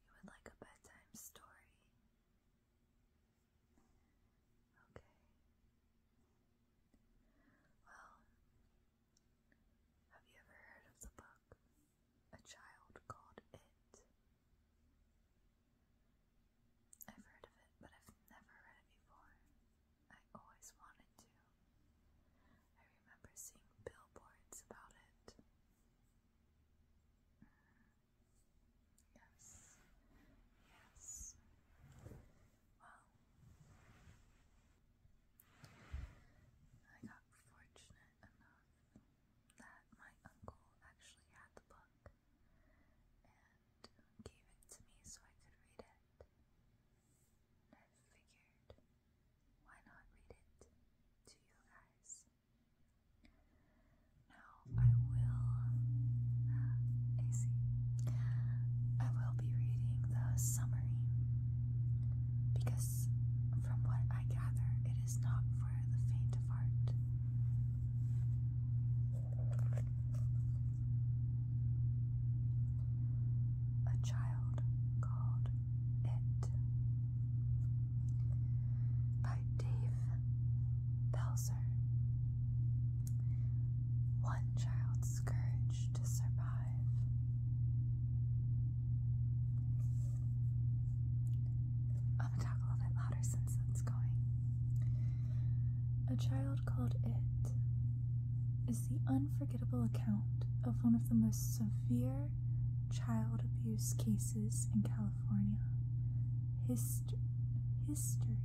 You would like a bedtime story? Okay. Well, have you ever heard of the book? a child called It. I've heard of it, but I've never read it before. I always wanted to. I remember seeing billboards about it. Mm. Yes. Yes. Well, I got fortunate enough that my uncle actually had the book and gave it to me so I could read it. And I figured, why not read it to you guys? Now, I will, uh, I will be reading the summary because, from what I gather, it it is not for the faint of heart. A child called It by Dave Belzer. One child's courage to survive. I'm gonna talk a little bit louder since that's going. A Child Called It is the unforgettable account of one of the most severe child abuse cases in California. Hist history.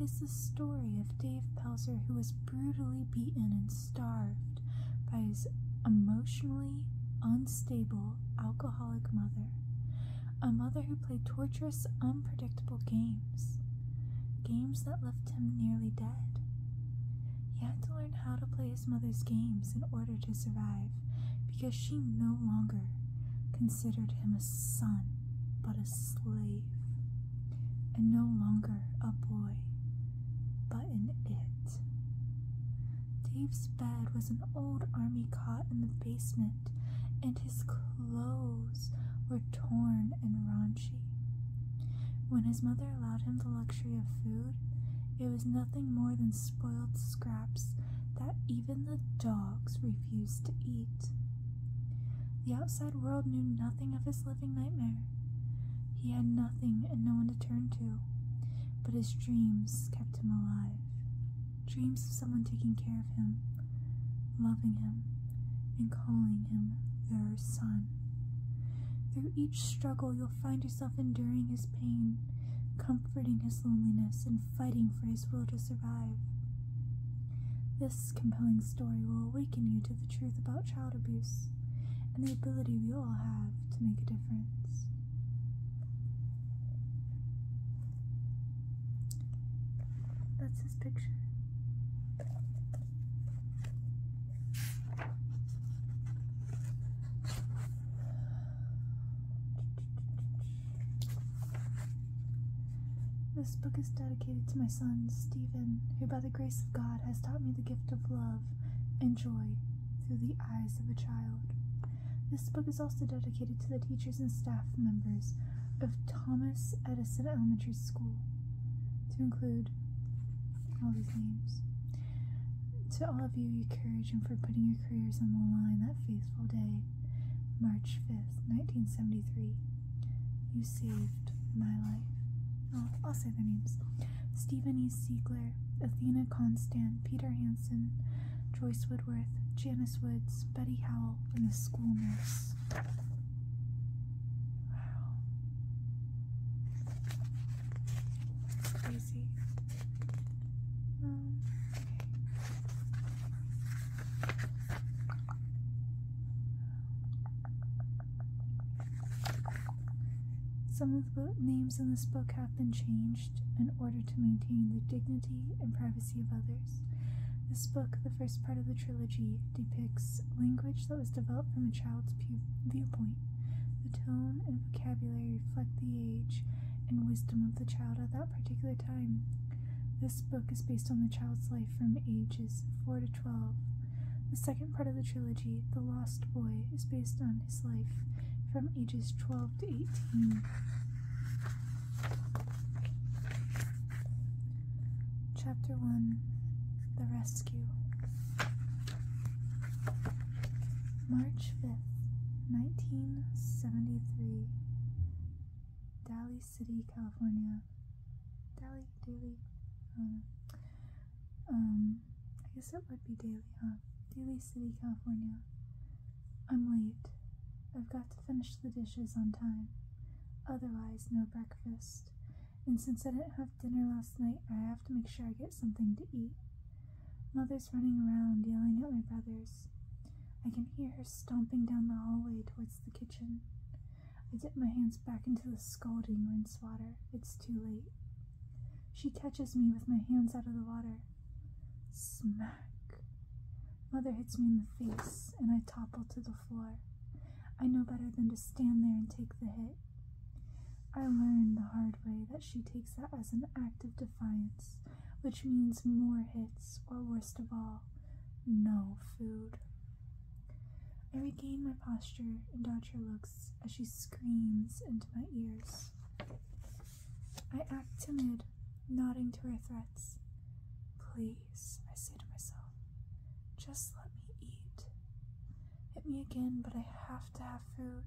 It is the story of Dave Pelzer, who was brutally beaten and starved by his emotionally unstable alcoholic mother, a mother who played torturous, unpredictable games, games that left him nearly dead. He had to learn how to play his mother's games in order to survive because she no longer considered him a son but a slave, and no longer a boy but an it. Dave's bed was an old army cot in the basement, and his clothes were torn and raunchy. When his mother allowed him the luxury of food, it was nothing more than spoiled scraps that even the dogs refused to eat. The outside world knew nothing of his living nightmare. He had nothing and no one to turn to, but his dreams kept him alive. Dreams of someone taking care of him, loving him, and calling him their son. Through each struggle, you'll find yourself enduring his pain, comforting his loneliness, and fighting for his will to survive. This compelling story will awaken you to the truth about child abuse and the ability we all have to make a difference. That's his picture. This book is dedicated to my son, Stephen, who by the grace of God has taught me the gift of love and joy through the eyes of a child. This book is also dedicated to the teachers and staff members of Thomas Edison Elementary School, to include all these names. To all of you, you courage and for putting your careers on the line that fateful day, March 5th, 1973. You saved my life. I'll say their names. Stephen E. Siegler, Athena Constant, Peter Hansen, Joyce Woodworth, Janice Woods, Betty Howell, and the school nurse. Wow. Crazy. Um, Some of the names in this book have been changed in order to maintain the dignity and privacy of others. This book, the first part of the trilogy, depicts language that was developed from a child's viewpoint. The tone and vocabulary reflect the age and wisdom of the child at that particular time. This book is based on the child's life from ages 4 to 12. The second part of the trilogy, The Lost Boy, is based on his life from ages 12 to 18. Chapter 1 The Rescue March 5th, 1973, Daly City, California. Daly, Daly, um, um, I guess it would be Daly, huh? Daly City, California. I'm late. I've got to finish the dishes on time. Otherwise, no breakfast. And since I didn't have dinner last night, I have to make sure I get something to eat. Mother's running around, yelling at my brothers. I can hear her stomping down the hallway towards the kitchen. I dip my hands back into the scalding rinse water. It's too late. She catches me with my hands out of the water. Smack! Mother hits me in the face, and I topple to the floor. I know better than to stand there and take the hit. I learn the hard way that she takes that as an act of defiance, which means more hits, or worst of all, no food. I regain my posture and dodge her looks as she screams into my ears. I act timid, nodding to her threats. Please, I say to myself, just let me eat. Hit me again, but I have to have food.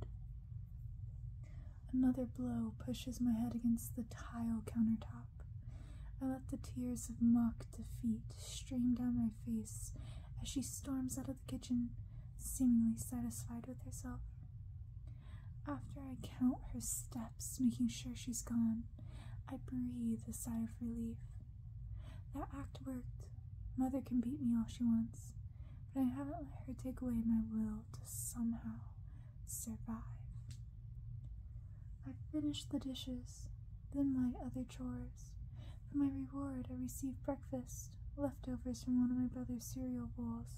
Another blow pushes my head against the tile countertop. I let the tears of mock defeat stream down my face as she storms out of the kitchen, seemingly satisfied with herself. After I count her steps, making sure she's gone, I breathe a sigh of relief. That act worked. Mother can beat me all she wants, but I haven't let her take away my will to somehow survive. I finish the dishes, then my other chores. For my reward, I receive breakfast leftovers from one of my brother's cereal bowls.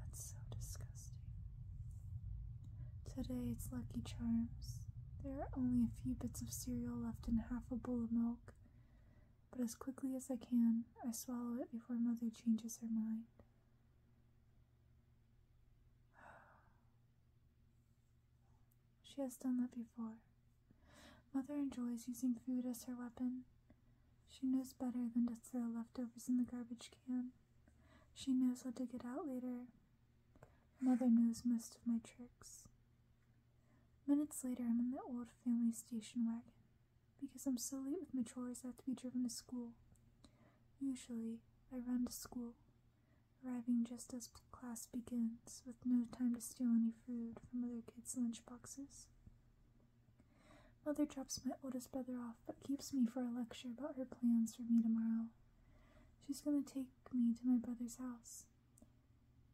That's so disgusting. Today it's Lucky Charms. There are only a few bits of cereal left in half a bowl of milk, but as quickly as I can, I swallow it before Mother changes her mind. She has done that before, Mother enjoys using food as her weapon. She knows better than to throw leftovers in the garbage can. She knows how to get out later. Mother knows most of my tricks. Minutes later, I'm in the old family station wagon. Because I'm so late with my chores, I have to be driven to school. Usually, I run to school, arriving just as class begins, with no time to steal any food from other kids' lunch boxes. Mother drops my oldest brother off, but keeps me for a lecture about her plans for me tomorrow. She's going to take me to my brother's house.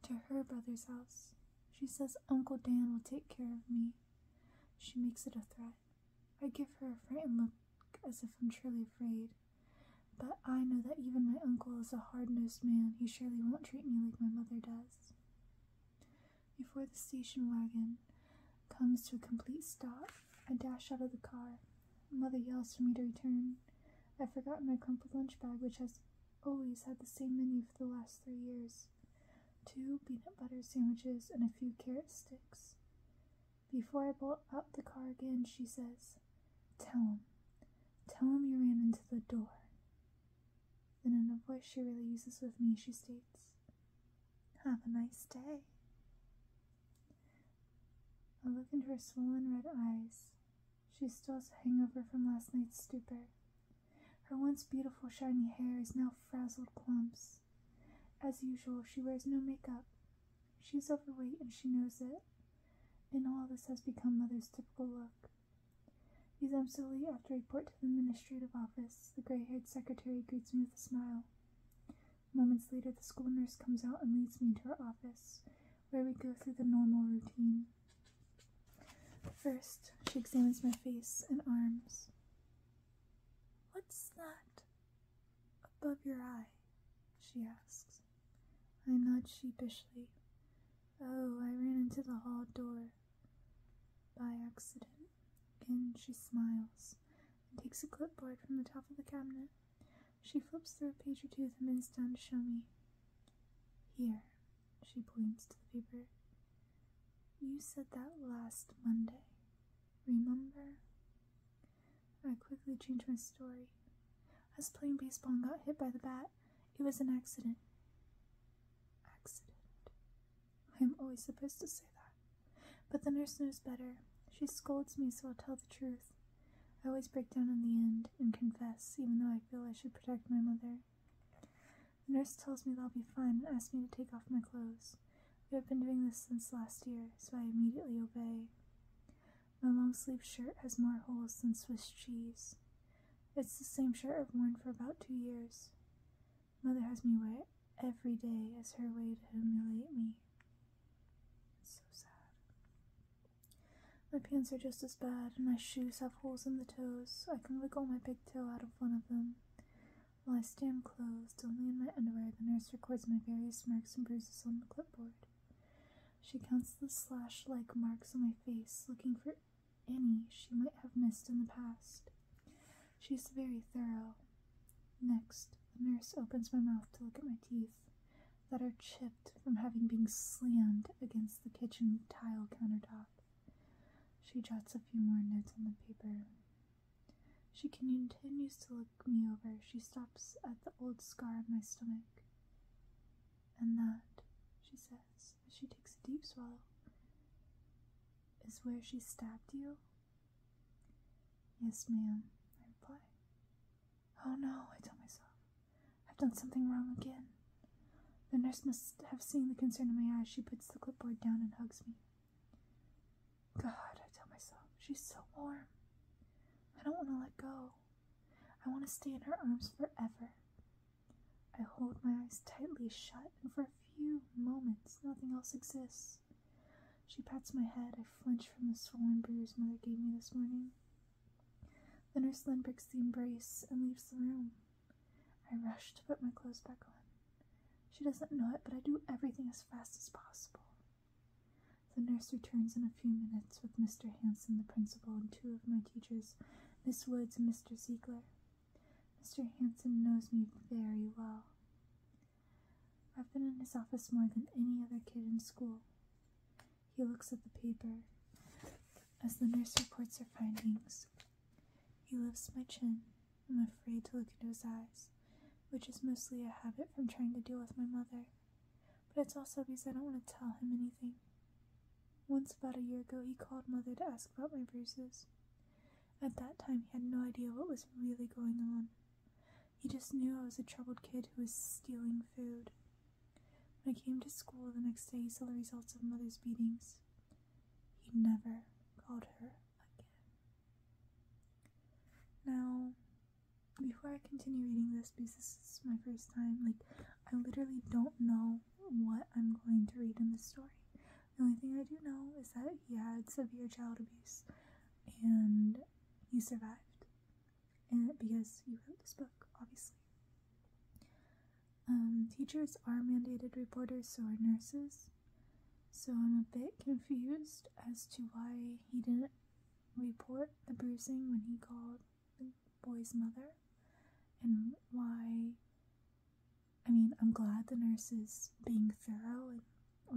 To her brother's house. She says Uncle Dan will take care of me. She makes it a threat. I give her a frightened look as if I'm truly afraid. But I know that even my uncle is a hard nosed man. He surely won't treat me like my mother does. Before the station wagon comes to a complete stop, I dash out of the car. Mother yells for me to return. I've forgotten my crumpled lunch bag, which has always had the same menu for the last three years two peanut butter sandwiches and a few carrot sticks. Before I bolt out the car again, she says, Tell him. Tell him you ran into the door. Then, in a voice she really uses with me, she states, Have a nice day. I look into her swollen red eyes. She still has hangover from last night's stupor. Her once beautiful shiny hair is now frazzled clumps. As usual, she wears no makeup. She's overweight and she knows it. And all this has become Mother's typical look. These I'm solely after report to the administrative office. The gray haired secretary greets me with a smile. Moments later, the school nurse comes out and leads me into her office, where we go through the normal routine. First, she examines my face and arms. What's that above your eye? she asks. I nod sheepishly. Oh, I ran into the hall door by accident. Again, she smiles and takes a clipboard from the top of the cabinet. She flips through a page or two, then bends to show me. Here, she points to the paper. You said that last Monday. Remember? I quickly change my story. I was playing baseball and got hit by the bat. It was an accident. Accident. I am always supposed to say that. But the nurse knows better. She scolds me, so I'll tell the truth. I always break down in the end and confess, even though I feel I should protect my mother. The nurse tells me they'll be fine and asks me to take off my clothes. We have been doing this since last year, so I immediately obey. My long sleeved shirt has more holes than Swiss cheese. It's the same shirt I've worn for about two years. Mother has me wear it every day as her way to humiliate me. It's so sad. My pants are just as bad, and my shoes have holes in the toes. I can wiggle my big toe out of one of them. While I stand closed, only in my underwear, the nurse records my various marks and bruises on the clipboard. She counts the slash like marks on my face, looking for any she might have missed in the past. She's very thorough. Next, the nurse opens my mouth to look at my teeth that are chipped from having been slammed against the kitchen tile countertop. She jots a few more notes on the paper. She continues to look me over. She stops at the old scar on my stomach. And that, she says, she takes a deep swallow. Is where she stabbed you? Yes, ma'am, I reply. Oh no, I tell myself. I've done something wrong again. The nurse must have seen the concern in my eyes. She puts the clipboard down and hugs me. God, I tell myself, she's so warm. I don't want to let go. I want to stay in her arms forever. I hold my eyes tightly shut, and for a few moments nothing else exists. She pats my head. I flinch from the swollen bruise Mother gave me this morning. The nurse then breaks the embrace and leaves the room. I rush to put my clothes back on. She doesn't know it, but I do everything as fast as possible. The nurse returns in a few minutes with Mr. Hanson, the principal, and two of my teachers, Miss Woods and Mr. Ziegler. Mr. Hanson knows me very well. I've been in his office more than any other kid in school. He looks at the paper as the nurse reports her findings. He lifts my chin. I'm afraid to look into his eyes, which is mostly a habit from trying to deal with my mother. But it's also because I don't want to tell him anything. Once, about a year ago, he called Mother to ask about my bruises. At that time, he had no idea what was really going on. He just knew I was a troubled kid who was stealing food. When I came to school the next day, he saw the results of Mother's beatings. He never called her again. Now, before I continue reading this, because this is my first time, like, I literally don't know what I'm going to read in the story. The only thing I do know is that he had severe child abuse and you survived. And because you wrote this book, obviously. Um, teachers are mandated reporters, so are nurses. So I'm a bit confused as to why he didn't report the bruising when he called boy's mother and why I mean, I'm glad the nurse is being thorough and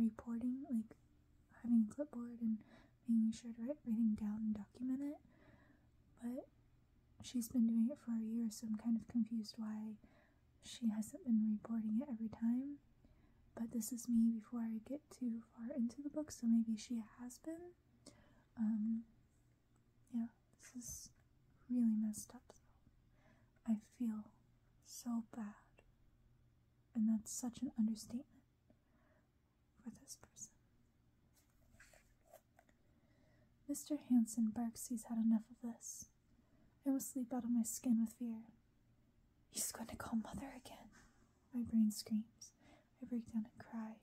reporting, like having a clipboard and making sure to write everything down and document it. But she's been doing it for a year, so I'm kind of confused why she hasn't been reporting it every time. But this is me before I get too far into the book, so maybe she has been. Um, yeah, this is really messed up I feel so bad. And that's such an understatement for this person. Mr. Hanson barks he's had enough of this. I will sleep out of my skin with fear. He's going to call mother again. My brain screams. I break down and cry.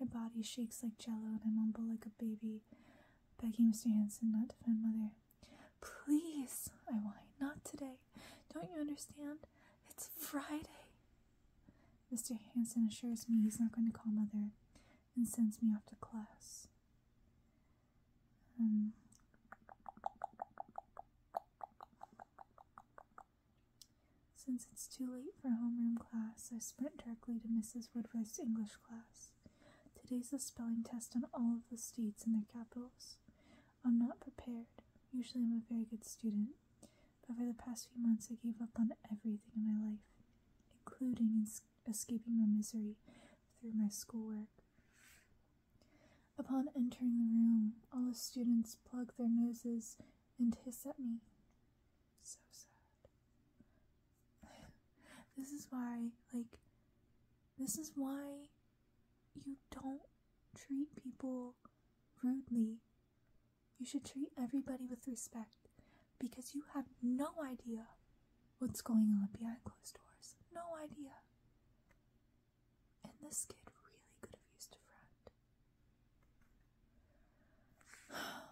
My body shakes like jello, and I mumble like a baby, begging Mr. Hanson not to find Mother. Please, I whine, not today. Don't you understand? It's Friday. Mr. Hanson assures me he's not going to call Mother and sends me off to class. Um, since it's too late for homeroom class, I sprint directly to Mrs. Woodruff's English Today's the spelling test on all of the states and their capitals. I'm not prepared. Usually I'm a very good student, but for the past few months I gave up on everything in my life, including escaping my misery through my schoolwork. Upon entering the room, all the students plug their noses and hiss at me. So sad. this is why, like, this is why you don't treat people rudely. You should treat everybody with respect because you have no idea what's going on behind closed doors. No idea. And this kid really could have used a friend. Oh.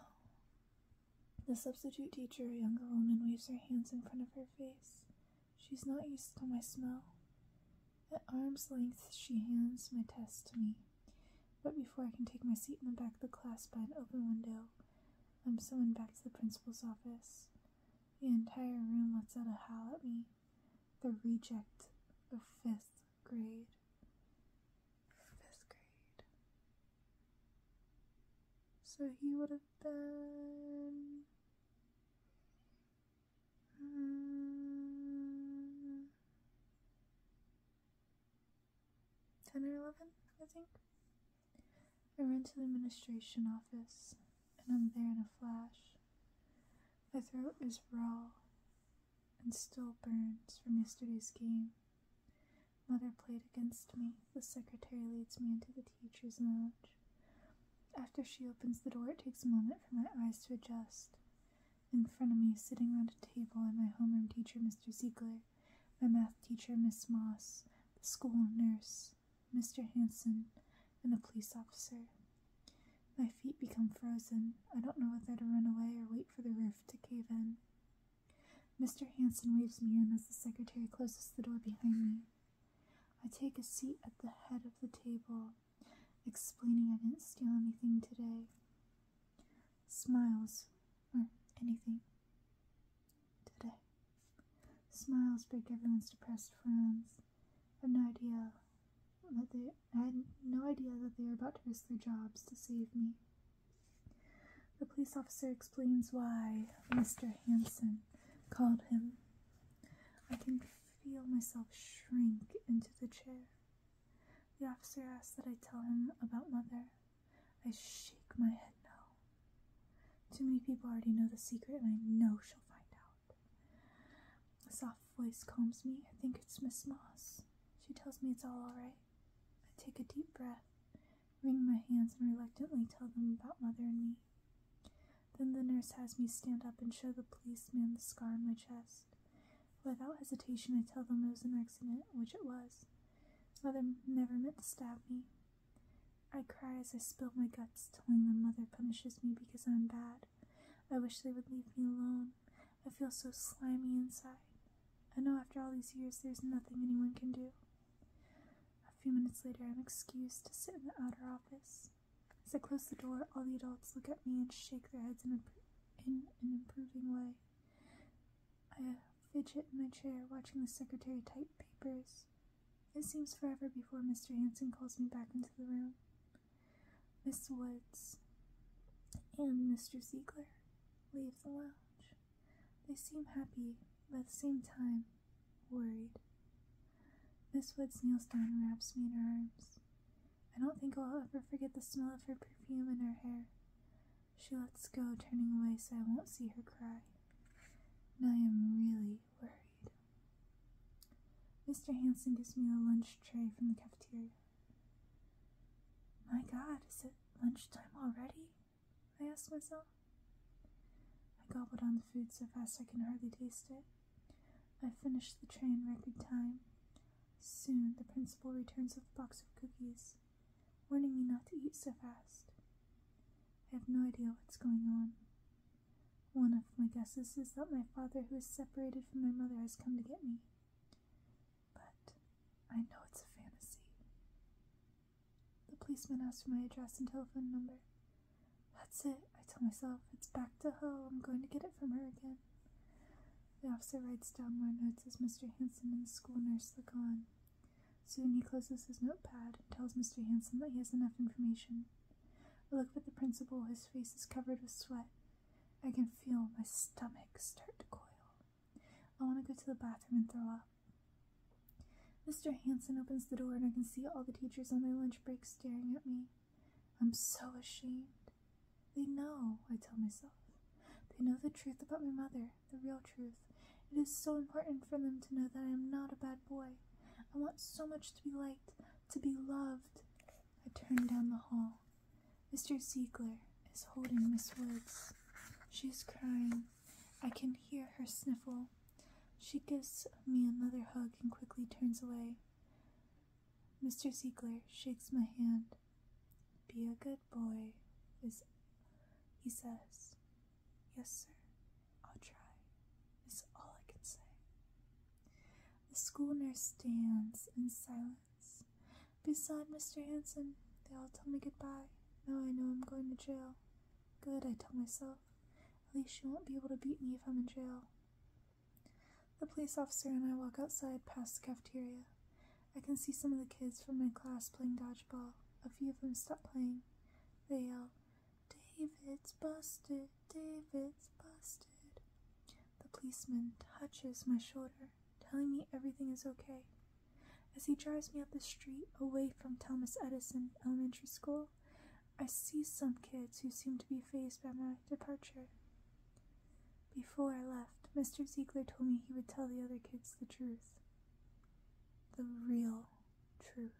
The substitute teacher, a younger woman, waves her hands in front of her face. She's not used to my smell. At arm's length, she hands my test to me. But before I can take my seat in the back of the class by an open window, I'm summoned back to the principal's office. The entire room lets out a howl at me. The reject of fifth grade fifth grade. So he would have been. Hmm, 10 or 11, I think. I run to the administration office, and I'm there in a flash. My throat is raw and still burns from yesterday's game. Mother played against me. The secretary leads me into the teacher's lounge. After she opens the door, it takes a moment for my eyes to adjust. In front of me, sitting around a table, are my homeroom teacher, Mr. Ziegler, my math teacher, Miss Moss, the school nurse, Mr. Hanson, and a police officer. My feet become frozen. I don't know whether to run away or wait for the roof to cave in. Mr. Hanson waves me in as the secretary closes the door behind me. I take a seat at the head of the table, explaining I didn't steal anything today. Smiles, or anything. Today. Smiles break everyone's depressed frowns. I have no idea that they I had no idea that they were about to risk their jobs to save me. The police officer explains why Mr. Hanson called him. I can feel myself shrink into the chair. The officer asks that I tell him about Mother. I shake my head no. Too many people already know the secret, and I know she'll find out. A soft voice calms me. I think it's Miss Moss. She tells me it's all alright. I take a deep breath, wring my hands, and reluctantly tell them about mother and me. Then the nurse has me stand up and show the policeman the scar on my chest. Without hesitation, I tell them it was an accident, which it was. Mother never meant to stab me. I cry as I spill my guts, telling them mother punishes me because I'm bad. I wish they would leave me alone. I feel so slimy inside. I know after all these years there's nothing anyone can do. A few minutes later, I'm excused to sit in the outer office. As I close the door, all the adults look at me and shake their heads in, an improving way. I fidget in my chair, watching the secretary type papers. It seems forever before Mr. Hanson calls me back into the room. Miss Woods and Mr. Ziegler leave the lounge. They seem happy, but at the same time, worried. Miss Woods kneels down and wraps me in her arms. I don't think I'll ever forget the smell of her perfume and her hair. She lets go, turning away so I won't see her cry. Now I am really worried. Mr. Hanson gives me a lunch tray from the cafeteria. My god, is it lunchtime already? I ask myself. I gobble down the food so fast I can hardly taste it. I finish the tray in record time. Soon the principal returns with a box of cookies, warning me not to eat so fast. I have no idea what's going on. One of my guesses is that my father, who is separated from my mother, has come to get me. But I know it's a fantasy. The policeman asks for my address and telephone number. That's it, I tell myself. It's back to hell. I'm going to get it from her again. The officer writes down more notes as Mr. Hanson and the school nurse look on. Soon he closes his notepad and tells Mr. Hanson that he has enough information. I look at the principal, his face is covered with sweat. I can feel my stomach start to coil. I want to go to the bathroom and throw up. Mr. Hanson opens the door and I can see all the teachers on their lunch break staring at me. I'm so ashamed. They know, I tell myself. They know the truth about my mother, the real truth. It is so important for them to know that I am not a bad boy. I want so much to be liked, to be loved. I turn down the hall. Mr. Ziegler is holding Miss Woods. She is crying. I can hear her sniffle. She gives me another hug and quickly turns away. Mr. Ziegler shakes my hand. Be a good boy, is, he says. Yes, sir, I'll try, is all I can say. The school nurse stands in silence beside Mr. Hanson. They all tell me goodbye. Now I know I'm going to jail. Good, I tell myself. At least she won't be able to beat me if I'm in jail. The police officer and I walk outside past the cafeteria. I can see some of the kids from my class playing dodgeball. A few of them stop playing. They yell, David's busted, David's busted. The policeman touches my shoulder telling me everything is okay. As he drives me up the street away from Thomas Edison Elementary School, I see some kids who seem to be phased by my departure. Before I left, Mr. Ziegler told me he would tell the other kids the truth. The real truth.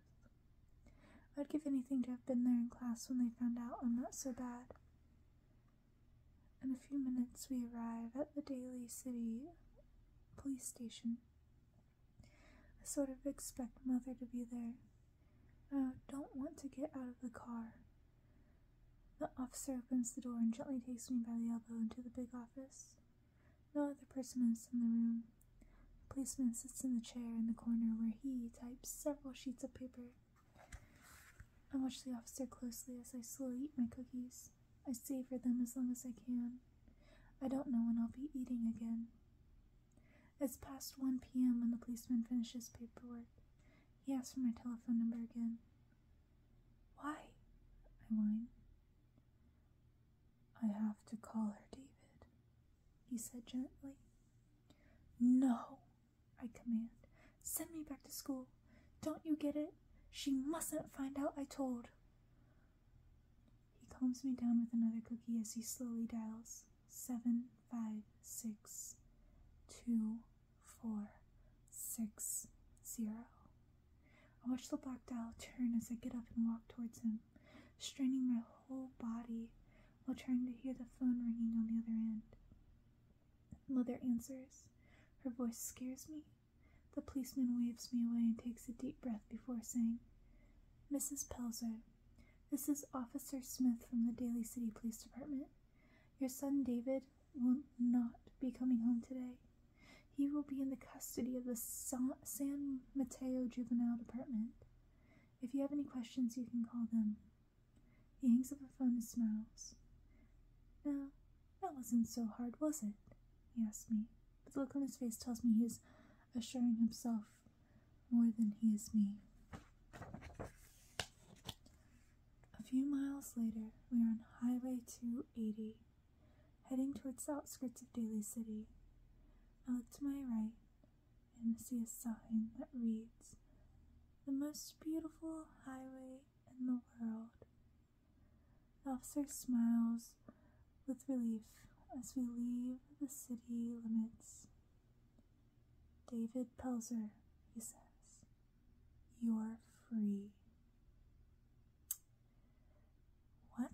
I'd give anything to have been there in class when they found out I'm not so bad. In a few minutes, we arrive at the Daily City police station. I sort of expect Mother to be there. I oh, don't want to get out of the car. The officer opens the door and gently takes me by the elbow into the big office. No other person is in the room. The policeman sits in the chair in the corner where he types several sheets of paper. I watch the officer closely as I slowly eat my cookies meals. I savor them as long as I can. I don't know when I'll be eating again. It's past 1 p.m. when the policeman finishes paperwork. He asks for my telephone number again. Why? I whine. I have to call her, David, he said gently. No, I command. Send me back to school. Don't you get it? She mustn't find out I told. He calms me down with another cookie as he slowly dials seven, five, six, two, four, six, zero. I watch the black dial turn as I get up and walk towards him, straining my whole body while trying to hear the phone ringing on the other end. Mother answers. Her voice scares me, the policeman waves me away and takes a deep breath before saying, Mrs. Pelzer, this is Officer Smith from the Daly City Police Department. Your son David will not be coming home today. He will be in the custody of the San Mateo Juvenile Department. If you have any questions, you can call them. He hangs up the phone and smiles. Now, that wasn't so hard, was it? He asked me, but the look on his face tells me he is assuring himself more than he is me. A few miles later, we are on Highway 280, heading towards the outskirts of Daly City. I look to my right and see a sign that reads, The most beautiful highway in the world the officer smiles with relief as we leave the city limits. David Pelzer, he says, you're free. What?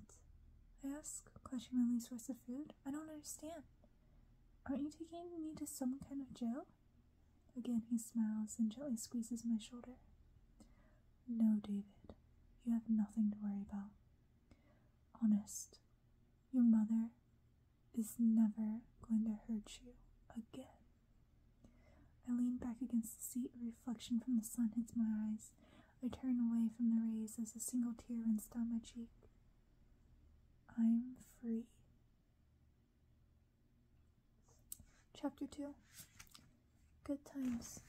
I ask, clutching my least source of food. I don't understand. Aren't you taking me to some kind of jail? Again, he smiles and gently squeezes my shoulder. No, David, you have nothing to worry about. Honest, your mother is never going to hurt you again. I lean back against the seat, reflection from the sun hits my eyes. I turn away from the rays as a single tear runs down my cheek. I'm free. Chapter 2 Good times.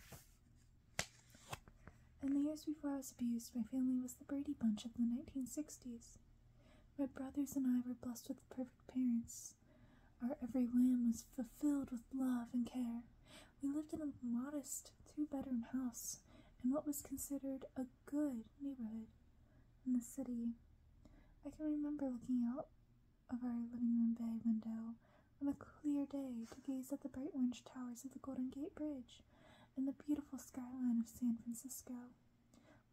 In the years before I was abused, my family was the Brady Bunch of the 1960s. My brothers and I were blessed with perfect parents. Our every whim was fulfilled with love and care. We lived in a modest two bedroom house in what was considered a good neighborhood in the city. I can remember looking out of our living room bay window on a clear day to gaze at the bright orange towers of the Golden Gate Bridge and the beautiful skyline of San Francisco.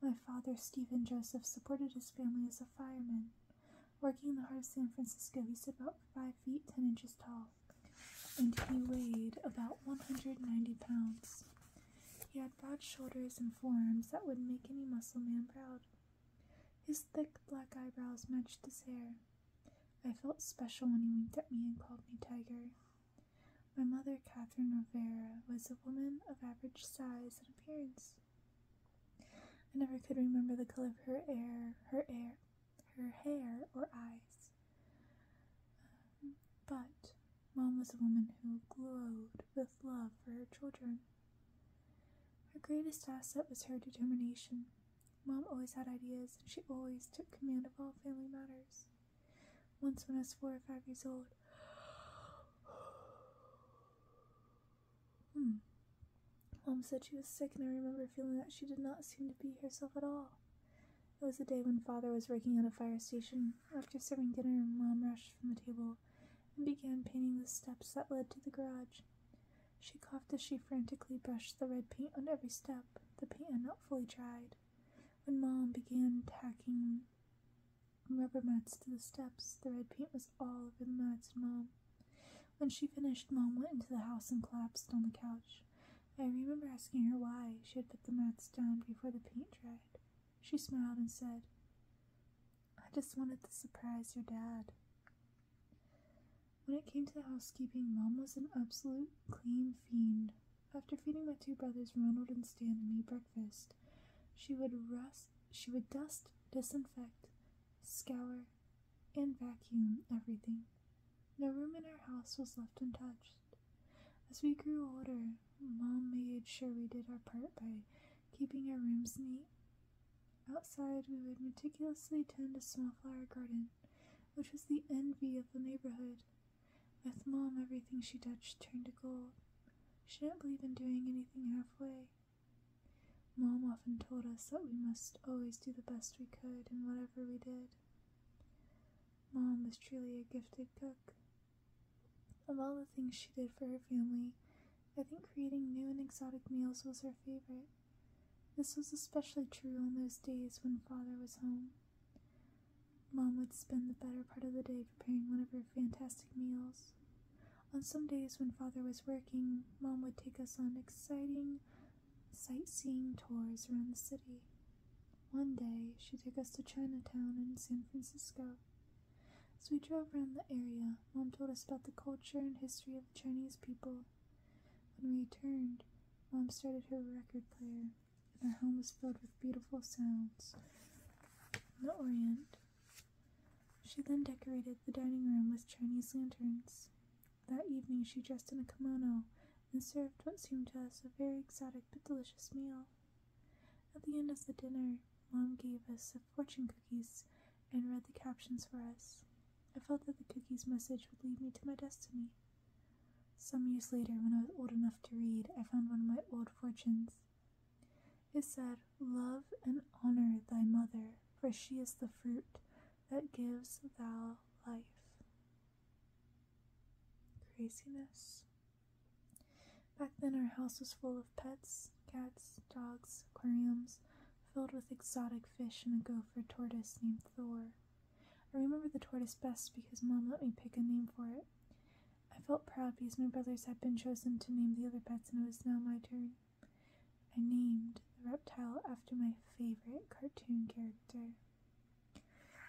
My father, Stephen Joseph, supported his family as a fireman. Working in the heart of San Francisco, he stood about 5 feet 10 inches tall, and he weighed about 190 pounds. He had broad shoulders and forearms that would make any muscle man proud. His thick black eyebrows matched his hair. I felt special when he winked at me and called me Tiger. My mother, Catherine Rivera, was a woman of average size and appearance. I never could remember the color of her hair, her hair, her hair or eyes. Um, but Mom was a woman who glowed with love for her children. Her greatest asset was her determination. Mom always had ideas, and she always took command of all family matters. Once, when I was four or five years old, hmm. Mom said she was sick, and I remember feeling that she did not seem to be herself at all. It was the day when Father was working at a fire station. After serving dinner, Mom rushed from the table and began painting the steps that led to the garage. She coughed as she frantically brushed the red paint on every step, the paint had not fully dried. When Mom began tacking rubber mats to the steps, the red paint was all over the mats and Mom. When she finished, Mom went into the house and collapsed on the couch. I remember asking her why she had put the mats down before the paint dried. She smiled and said, I just wanted to surprise your dad. When it came to the housekeeping, Mom was an absolute clean fiend. After feeding my two brothers, Ronald and Stan, and me breakfast, she would rest, she would dust, disinfect, scour, and vacuum everything. No room in our house was left untouched. As we grew older, Mom made sure we did our part by keeping our rooms neat Outside, we would meticulously tend a small flower garden, which was the envy of the neighborhood. With Mom, everything she touched turned to gold. She didn't believe in doing anything halfway. Mom often told us that we must always do the best we could in whatever we did. Mom was truly a gifted cook. Of all the things she did for her family, I think creating new and exotic meals was her favorite. This was especially true on those days when father was home. Mom would spend the better part of the day preparing one of her fantastic meals. On some days when father was working, Mom would take us on exciting sightseeing tours around the city. One day, she took us to Chinatown in San Francisco. As we drove around the area, Mom told us about the culture and history of the Chinese people when we returned, Mom started her record player, and our home was filled with beautiful sounds from the Orient. She then decorated the dining room with Chinese lanterns. That evening, she dressed in a kimono and served what seemed to us a very exotic but delicious meal. At the end of the dinner, Mom gave us a fortune cookie cookies and read the captions for us. I felt that the cookie's message would lead me to my destiny. Some years later, when I was old enough to read, I found one of my old fortunes. It said, Love and honor thy mother, for she is the fruit that gives thou life. Craziness. Back then, our house was full of pets, cats, dogs, aquariums, filled with exotic fish and a gopher tortoise named Thor. I remember the tortoise best because Mom let me pick a name for it. I felt proud because my brothers had been chosen to name the other pets and it was now my turn. I named the reptile after my favorite cartoon character.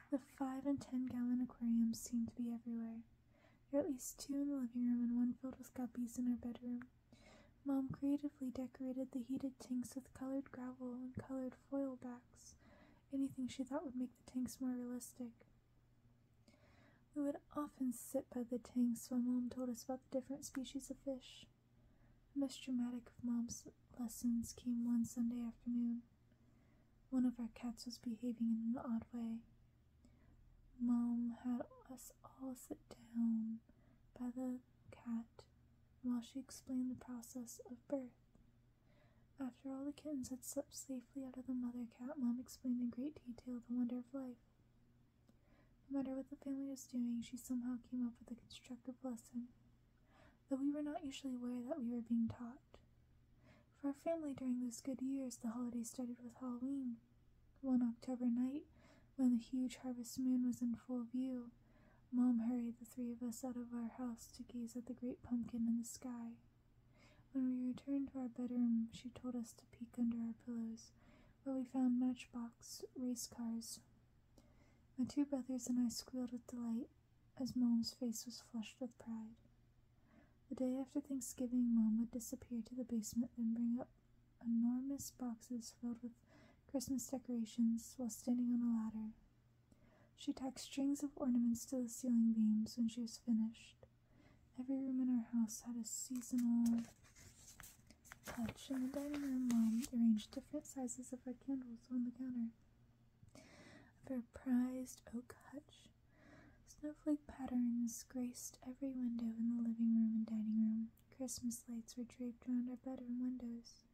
The five and ten gallon aquariums seemed to be everywhere. There were at least two in the living room and one filled with guppies in our bedroom. Mom creatively decorated the heated tanks with colored gravel and colored foil backs, anything she thought would make the tanks more realistic. We would often sit by the tanks while Mom told us about the different species of fish. The most dramatic of Mom's lessons came one Sunday afternoon. One of our cats was behaving in an odd way. Mom had us all sit down by the cat while she explained the process of birth. After all the kittens had slipped safely out of the mother cat, Mom explained in great detail the wonder of life. No matter what the family was doing, she somehow came up with a constructive lesson Though we were not usually aware that we were being taught. For our family during those good years, the holidays started with Halloween, one October night, when the huge harvest moon was in full view, Mom hurried the three of us out of our house to gaze at the great pumpkin in the sky. When we returned to our bedroom, she told us to peek under our pillows, where we found matchbox race cars. My two brothers and I squealed with delight as Mom's face was flushed with pride. The day after Thanksgiving, Mom would disappear to the basement and bring up enormous boxes filled with Christmas decorations while standing on a ladder. She tacked strings of ornaments to the ceiling beams when she was finished. Every room in our house had a seasonal touch. In the dining room, Mom arranged different sizes of red candles on the counter. A very prized oak hutch. Snowflake patterns graced every window in the living room and dining room. Christmas lights were draped around our bedroom windows.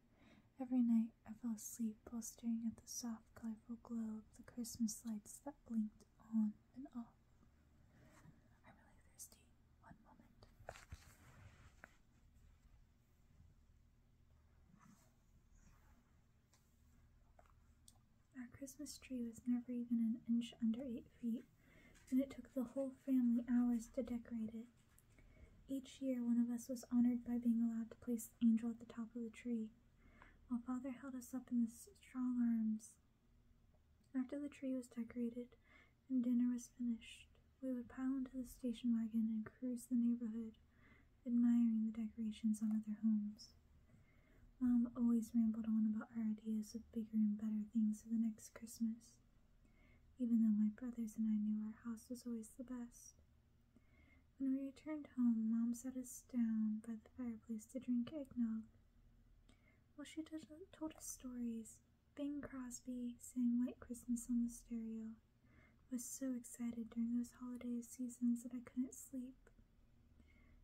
Every night I fell asleep while staring at the soft, colorful glow of the Christmas lights that blinked on and off. I'm really thirsty. One moment. Our Christmas tree was never even an inch under eight feet, and it took the whole family hours to decorate it. Each year, one of us was honored by being allowed to place the angel at the top of the tree, while Father held us up in his strong arms. After the tree was decorated and dinner was finished, we would pile into the station wagon and cruise the neighborhood, admiring the decorations on other homes. Mom always rambled on about her ideas of bigger and better things for the next Christmas even though my brothers and I knew our house was always the best. When we returned home, Mom sat us down by the fireplace to drink eggnog. While she told us stories, Bing Crosby sang White Christmas on the stereo. I was so excited during those holiday seasons that I couldn't sleep.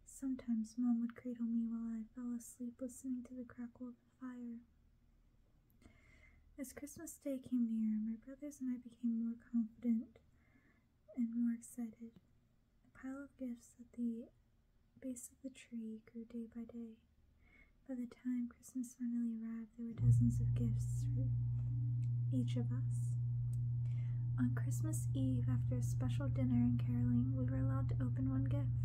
Sometimes Mom would cradle me while I fell asleep listening to the crackle of as Christmas Day came near, my brothers and I became more confident and more excited. A pile of gifts at the base of the tree grew day by day. By the time Christmas finally arrived, there were dozens of gifts for each of us. On Christmas Eve, after a special dinner and caroling, we were allowed to open one gift.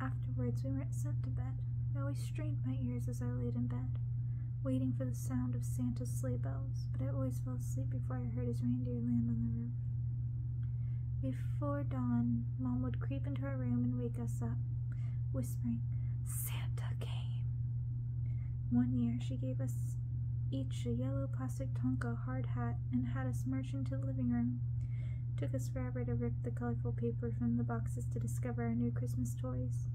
Afterwards, we were sent to bed. We strained my ears as I laid in bed, waiting for the sound of Santa's sleigh bells, but I always fell asleep before I heard his reindeer land on the roof. Before dawn, Mom would creep into our room and wake us up, whispering, Santa came. One year, she gave us each a yellow plastic Tonka hard hat and had us march into the living room. Took us forever to rip the colorful paper from the boxes to discover our new Christmas toys.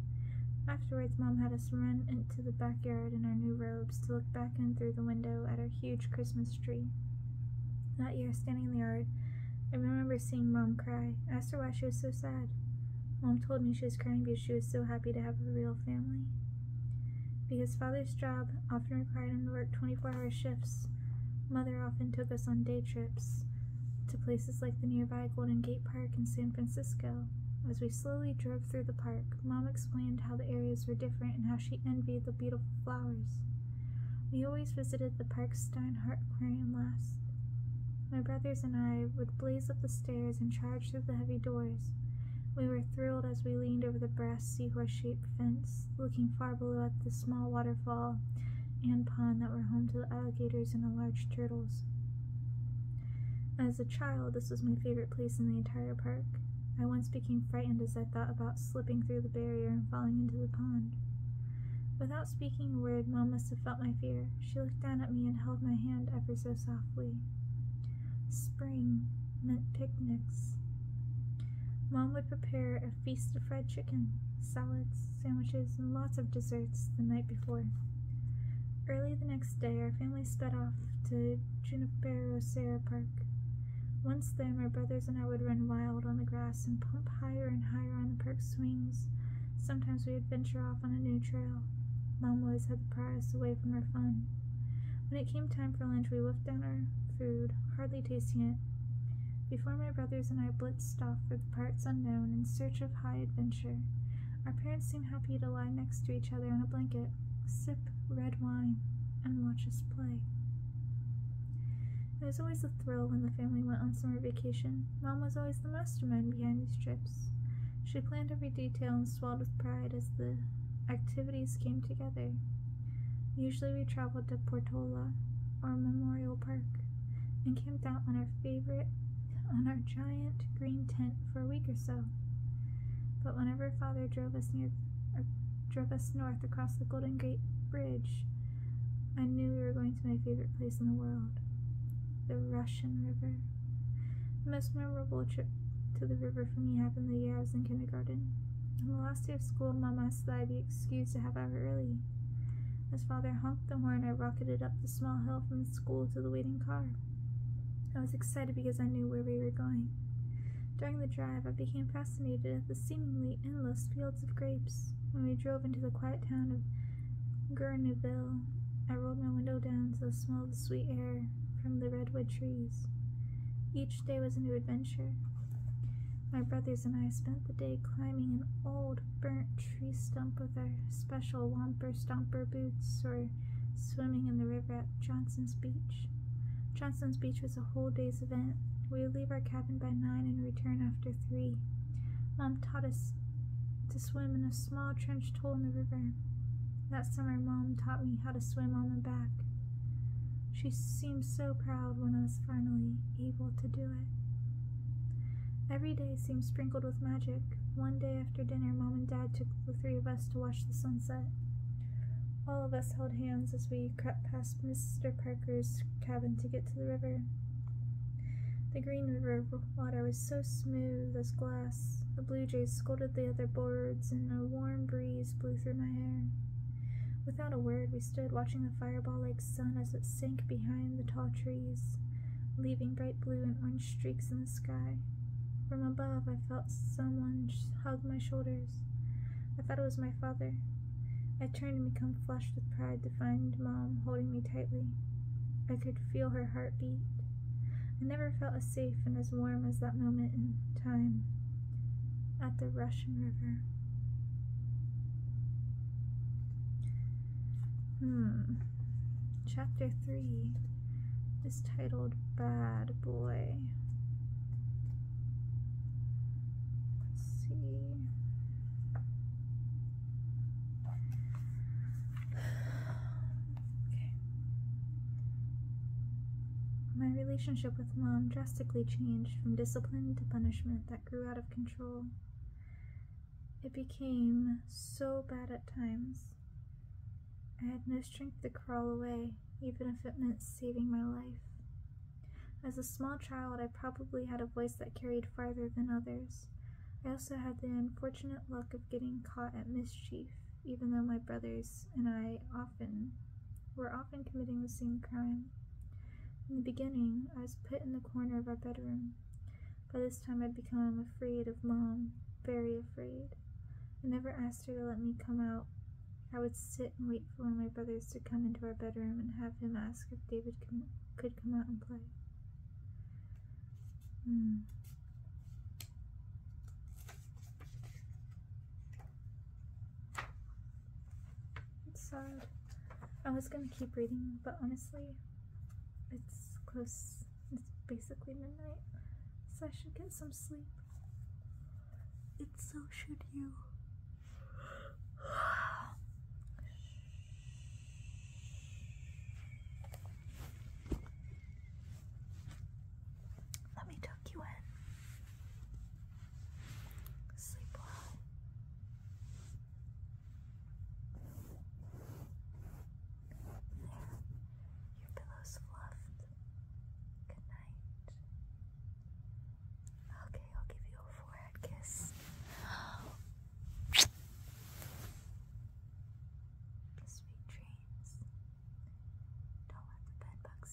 Afterwards, Mom had us run into the backyard in our new robes to look back in through the window at our huge Christmas tree. That year, standing in the yard, I remember seeing Mom cry. I asked her why she was so sad. Mom told me she was crying because she was so happy to have a real family. Because Father's job often required him to work 24 hour shifts, Mother often took us on day trips to places like the nearby Golden Gate Park in San Francisco. As we slowly drove through the park, Mom explained how the areas were different and how she envied the beautiful flowers. We always visited the park's Steinhardt Aquarium last. My brothers and I would blaze up the stairs and charge through the heavy doors. We were thrilled as we leaned over the brass seahorse-shaped fence, looking far below at the small waterfall and pond that were home to the alligators and the large turtles. As a child, this was my favorite place in the entire park. I once became frightened as I thought about slipping through the barrier and falling into the pond. Without speaking a word, Mom must have felt my fear. She looked down at me and held my hand ever so softly. Spring meant picnics. Mom would prepare feast of fried chicken, salads, sandwiches, and lots of desserts the night before. Early the next day, our family sped off to Junipero Serra Park. Once there, my brothers and I would run wild on the grass and pump higher and higher on the park swings. Sometimes we would venture off on a new trail. Mom always had to pry us away from our fun. When it came time for lunch, we wolfed down our food, hardly tasting it. Before my brothers and I blitzed off for parts unknown in search of high adventure. Our parents seem happy to lie next to each other on a blanket, sip red wine, and watch us play. It was always a thrill when the family went on summer vacation. Mom was always the mastermind behind these trips. She planned every detail and swelled with pride as the activities came together. Usually we traveled to Portola or Memorial Park and camped out on our favorite on our giant green tent for a week or so. But whenever father drove us near uh, drove us north across the Golden Gate Bridge, I knew we were going to my favorite place in the world, the Russian River. The most memorable trip to the river for me happened the year I was in kindergarten. On the last day of school, Mama asked that I be excused to have hour early. As father honked the horn, I rocketed up the small hill from the school to the waiting car. I was excited because I knew where we were going. During the drive, I became fascinated at the seemingly endless fields of grapes. When we drove into the quiet town of Gurneville, I rolled my window down to the smell the sweet air from the redwood trees. Each day was a new adventure. My brothers and I spent the day climbing an old burnt tree stump with our special Womper Stomper boots or swimming in the river at Johnson's Beach. Johnson's Beach was a whole day's event. We would leave our cabin by 9 and return after 3. Mom taught us to swim in a small trench hole in the river. That summer, Mom taught me how to swim on the back. She seemed so proud when I was finally able to do it. Every day seemed sprinkled with magic. One day after dinner, Mom and Dad took the three of us to watch the sunset. All of us held hands as we crept past Mr. Parker's cabin to get to the river. The green river water was so smooth as glass. The blue jays scolded the other birds, and a warm breeze blew through my hair. Without a word, we stood watching the fireball like sun as it sank behind the tall trees, leaving bright blue and orange streaks in the sky. From above, I felt someone hug my shoulders. I thought it was my father. I turned and became flushed with pride to find Mom holding me tightly. I could feel her heartbeat. I never felt as safe and as warm as that moment in time at the Russian River. Hmm. Chapter 3 is titled Bad Boy. Let's see. Okay. My relationship with mom drastically changed from discipline to punishment that grew out of control. It became so bad at times. I had no strength to crawl away, even if it meant saving my life. As a small child, I probably had a voice that carried farther than others. I also had the unfortunate luck of getting caught at mischief, even though my brothers and I often were often committing the same crime. In the beginning, I was put in the corner of our bedroom. By this time, i had become afraid of Mom, very afraid. I never asked her to let me come out. I would sit and wait for one of my brothers to come into our bedroom and have him ask if David could come out and play. Hmm. It's, sad. I was gonna keep reading, but honestly, it's close, it's basically midnight, so I should get some sleep. It's so should you. Let me tuck you in. Sleep well. Your pillow's fluffed. Good night. Okay, I'll give you a forehead kiss. Sweet dreams. Don't let the bed bite.